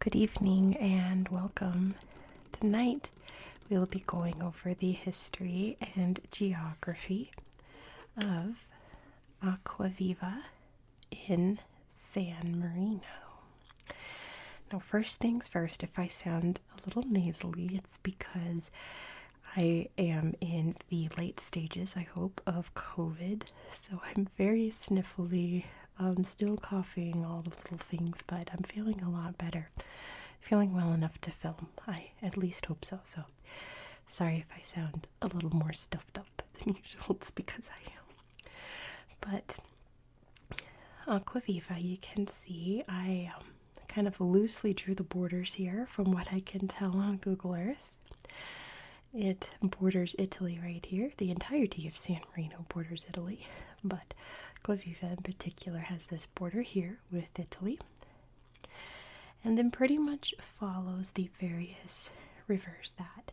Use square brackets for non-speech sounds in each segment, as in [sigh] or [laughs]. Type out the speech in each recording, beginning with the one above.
Good evening and welcome. Tonight We'll be going over the history and geography of Aquaviva in San Marino. Now, first things first, if I sound a little nasally, it's because I am in the late stages, I hope, of COVID. So I'm very sniffly, I'm um, still coughing, all those little things, but I'm feeling a lot better feeling well enough to film. I at least hope so. So, sorry if I sound a little more stuffed up [laughs] than usual. It's because I am. But Aquaviva, uh, you can see I um, kind of loosely drew the borders here from what I can tell on Google Earth. It borders Italy right here. The entirety of San Marino borders Italy, but Aquaviva in particular has this border here with Italy, and then pretty much follows the various rivers that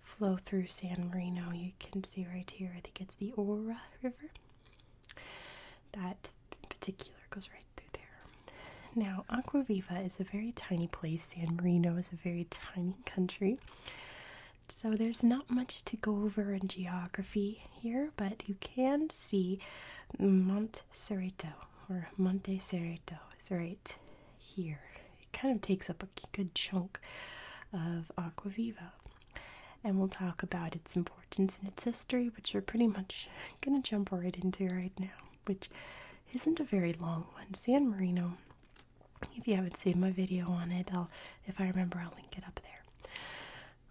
flow through San Marino. You can see right here, I think it's the Ora River. That particular goes right through there. Now, Aquaviva is a very tiny place. San Marino is a very tiny country. So there's not much to go over in geography here, but you can see Monte Cerrito or Monte Cerrito is right here. It kind of takes up a good chunk of Aquaviva. And we'll talk about its importance and its history, which we're pretty much going to jump right into right now, which isn't a very long one. San Marino, if you haven't seen my video on it, I'll, if I remember, I'll link it up there.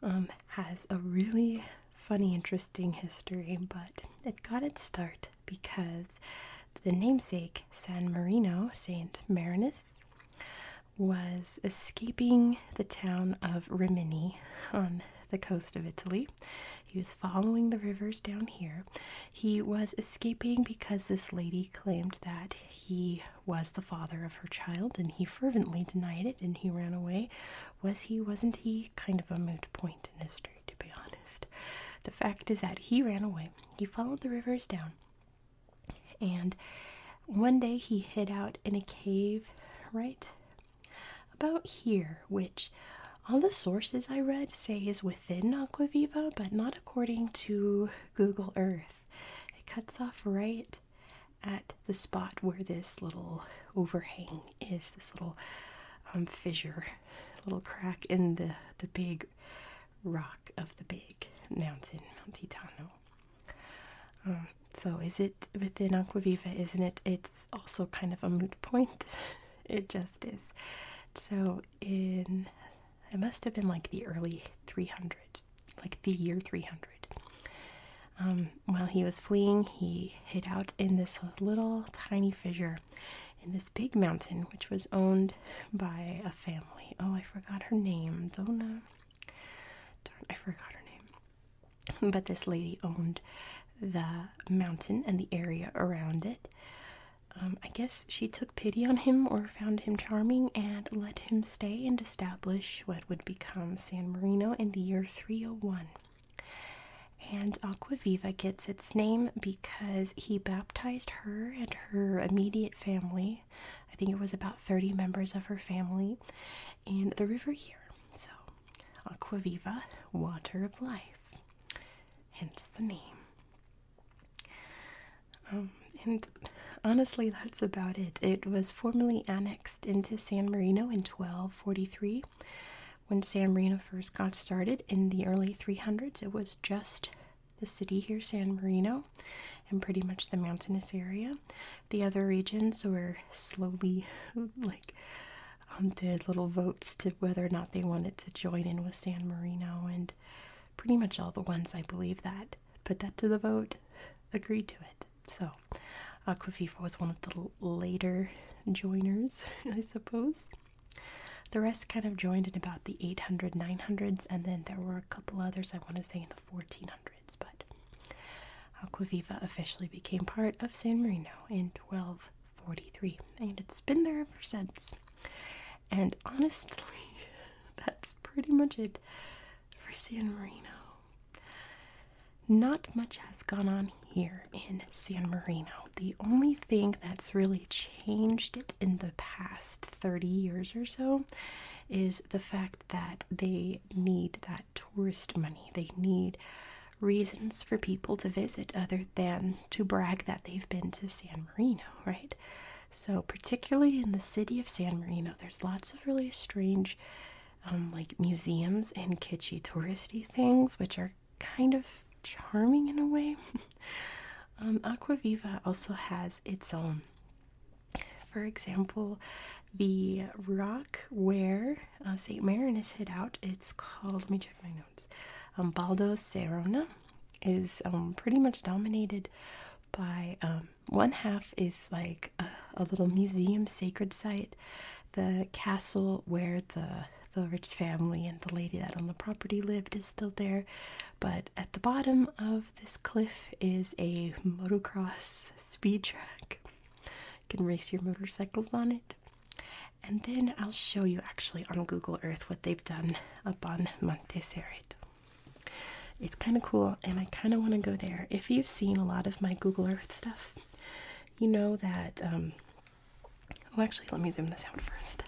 Um, has a really funny, interesting history, but it got its start because the namesake San Marino, Saint Marinus, was escaping the town of Rimini on the coast of Italy. He was following the rivers down here. He was escaping because this lady claimed that he was the father of her child, and he fervently denied it and he ran away was he, wasn't he? Kind of a moot point in history, to be honest. The fact is that he ran away. He followed the rivers down. And one day he hid out in a cave right about here, which all the sources I read say is within Aquaviva, but not according to Google Earth. It cuts off right at the spot where this little overhang is, this little um, fissure, little crack in the, the big rock of the big mountain, Mount Titano. Um, so is it within Aquaviva, isn't it? It's also kind of a moot point. [laughs] it just is. So in, it must have been like the early 300, like the year 300. Um, while he was fleeing, he hid out in this little tiny fissure in this big mountain, which was owned by a family. Oh, I forgot her name. Donna. Uh, darn, I forgot her name. But this lady owned the mountain and the area around it. Um, I guess she took pity on him or found him charming and let him stay and establish what would become San Marino in the year 301. And Aquaviva gets its name because he baptized her and her immediate family. I think it was about 30 members of her family in the river here. So, Aquaviva, water of life, hence the name. Um, and honestly, that's about it. It was formally annexed into San Marino in 12 1243. When San Marino first got started in the early 300s, it was just the city here, San Marino, and pretty much the mountainous area. The other regions were slowly [laughs] like did um, little votes to whether or not they wanted to join in with San Marino, and pretty much all the ones I believe that put that to the vote agreed to it. So, Aquaviva was one of the later joiners, [laughs] I suppose. The rest kind of joined in about the 800, 900s, and then there were a couple others, I want to say in the 1400s, but Aquaviva officially became part of San Marino in 1243, and it's been there ever since. And honestly, [laughs] that's pretty much it for San Marino. Not much has gone on here in San Marino. The only thing that's really changed it in the past 30 years or so is the fact that they need that tourist money. They need reasons for people to visit other than to brag that they've been to San Marino, right? So, particularly in the city of San Marino, there's lots of really strange um, like museums and kitschy touristy things, which are kind of charming in a way. [laughs] Um, Aquaviva also has its own. For example, the rock where uh, St. Marinus is hid out, it's called, let me check my notes, um, Baldo is um, pretty much dominated by one half is like a, little museum sacred site, the castle where the the rich family and the lady that on the property lived is still there. But at the bottom of this cliff is a motocross speed track. You can race your motorcycles on it. And then I'll show you actually on Google Earth what they've done up on Monte Cerrito. It's kind of cool, and I kind of want to go there. If you've seen a lot of my Google Earth stuff, you know that um, oh actually let me zoom this out first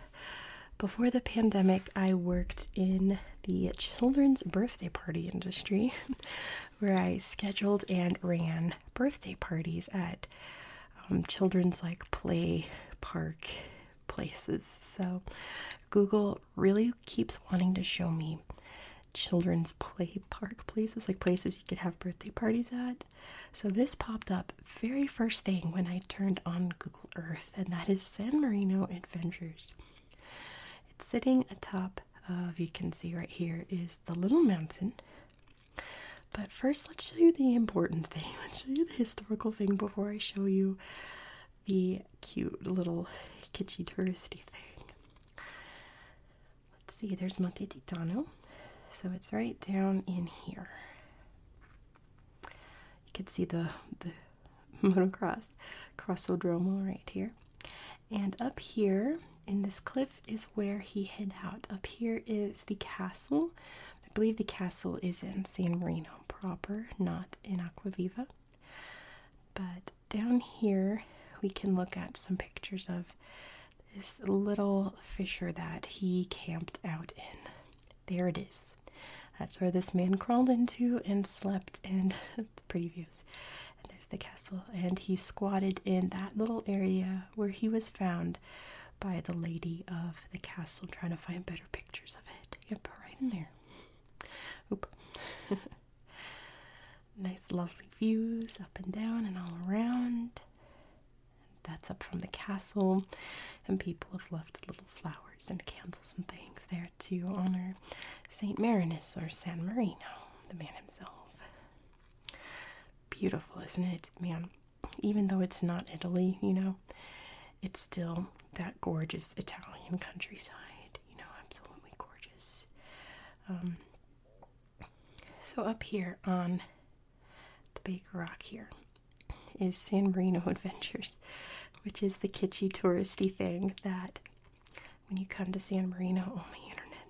before the pandemic i worked in the children's birthday party industry [laughs] where i scheduled and ran birthday parties at um, children's like play park places so google really keeps wanting to show me children's play park places, like places you could have birthday parties at. So this popped up very first thing when I turned on Google Earth, and that is San Marino Adventures. It's sitting atop of, you can see right here, is the little mountain. But first, let's show you the important thing. [laughs] Let's show you the historical thing before I show you the cute little kitschy touristy thing. Let's see, there's Monte Titano. So it's right down in here. You can see the, the [laughs] motocross, Crossodromo right here. And up here in this cliff is where he hid out. Up here is the castle. I believe the castle is in San Marino proper, not in Aquaviva. But down here we can look at some pictures of this little fissure that he camped out in. There it is. That's where this man crawled into and slept, and [laughs] pretty views. And there's the castle, and he squatted in that little area where he was found by the lady of the castle, trying to find better pictures of it. Yep, right in there. Oop. [laughs] Nice, lovely views up and down and all around. That's up from the castle, and people have left little flowers and candles and things there to honor Saint Marinus or San Marino, the man himself. Beautiful, isn't it, man? Even though it's not Italy, you know, it's still that gorgeous Italian countryside, you know, absolutely gorgeous. Um, so up here on the big rock here is San Marino [laughs] Adventures, which is the kitschy touristy thing that when you come to San Marino, oh my internet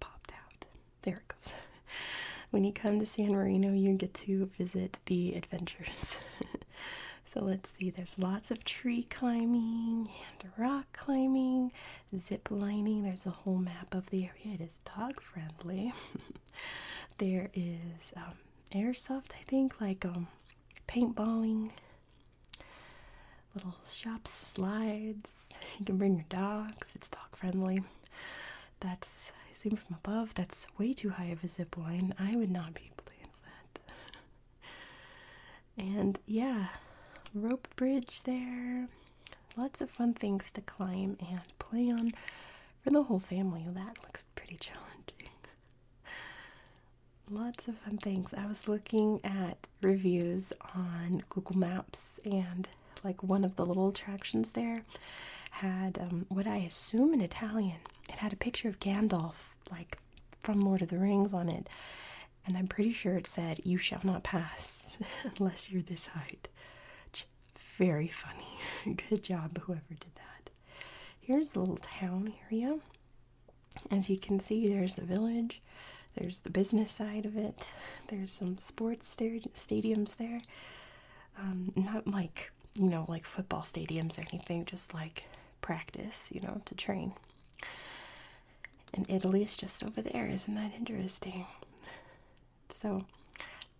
popped out. There it goes. [laughs] When you come to San Marino, you get to visit the adventures. [laughs] so let's see, there's lots of tree climbing and rock climbing, zip lining. There's a whole map of the area. It is dog friendly. [laughs] there is um, airsoft, I think, like um, paintballing, little shop slides. You can bring your dogs. It's dog friendly. That's I assume from above. That's way too high of a zip line. I would not be able to handle that. [laughs] and yeah, rope bridge there. Lots of fun things to climb and play on for the whole family. That looks pretty challenging. Lots of fun things. I was looking at reviews on Google Maps, and like one of the little attractions there had um, what I assume an Italian. It had a picture of Gandalf, like from Lord of the Rings, on it and I'm pretty sure it said, You shall not pass [laughs] unless you're this height. Very funny. [laughs] Good job, whoever did that. Here's the little town area. As you can see, there's the village, there's the business side of it, there's some sports stadiums there. Um, not like, you know, like football stadiums or anything, just like practice, you know, to train and Italy is just over there. Isn't that interesting? So,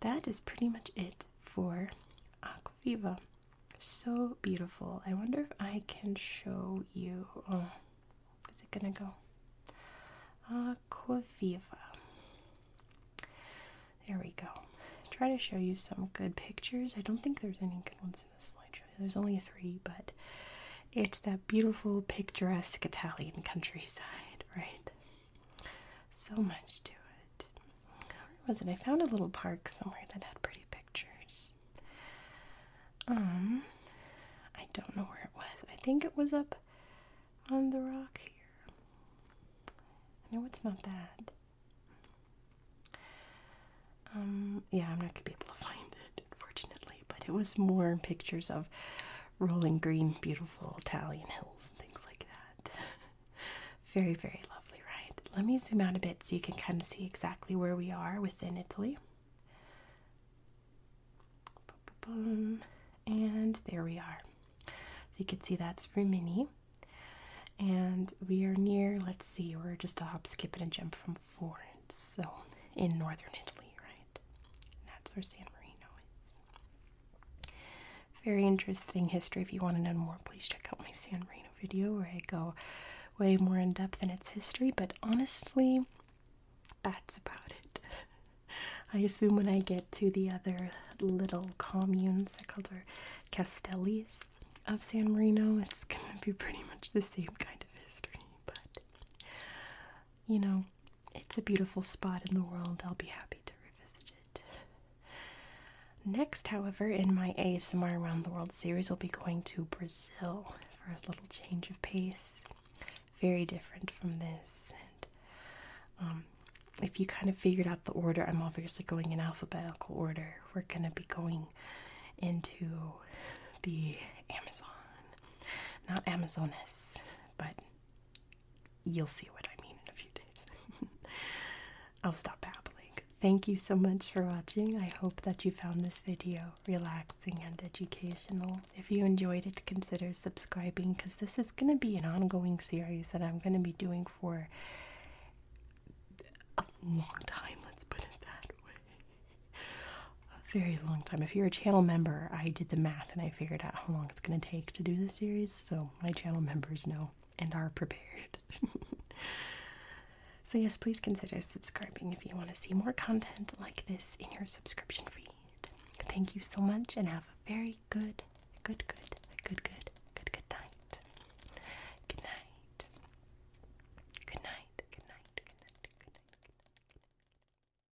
that is pretty much it for Aquaviva. So beautiful. I wonder if I can show you. Oh, is it gonna go? Aquaviva. There we go. Try to show you some good pictures. I don't think there's any good ones in this slideshow. There's only three, but it's that beautiful, picturesque Italian countryside, right? So much to it. Where was it? I found a little park somewhere that had pretty pictures. Um, I don't know where it was. I think it was up on the rock here. No, it's not that. Um, yeah, I'm not gonna be able to [laughs] find it, unfortunately, but it was more pictures of rolling green, beautiful Italian hills and things like that. [laughs] very, very lovely, right? Let me zoom out a bit so you can kind of see exactly where we are within Italy. and there we are. So you can see that's Rimini. And we are near, let's see, we're just a hop, skip, and a jump from Florence, so in northern Italy right? that's where San Marino is. Very interesting history. If you want to know more, please check out my San Marino video where I go way more in depth in its history. But honestly, that's about it. [laughs] I assume when I get to the other little communes, I call them Castellis of San Marino, it's gonna be pretty much the same kind of history. But you know, it's a beautiful spot in the world. I'll be happy to revisit it. Next, however, in my ASMR Around the World series, we'll be going to Brazil for a little change of pace. Very different from this. And um, if you kind of figured out the order, I'm obviously going in alphabetical order. We're going to be going into the Amazon. Not Amazonas, but You'll see what I mean in a few days. [laughs] I'll stop babbling. Thank you so much for watching. I hope that you found this video relaxing and educational. If you enjoyed it, consider subscribing because this is going to be an ongoing series that I'm going to be doing for a long time, let's put it that way a very long time. If you're a channel member, I did the math and I figured out how long it's going to take to do the series, so my channel members know and are prepared. [laughs] so, yes, please consider subscribing if you want to see more content like this in your subscription feed. Thank you so much and have a very good, good, good, good, good, good, Good night. Good night. Good night. Good night. Good night. Good night. Good night.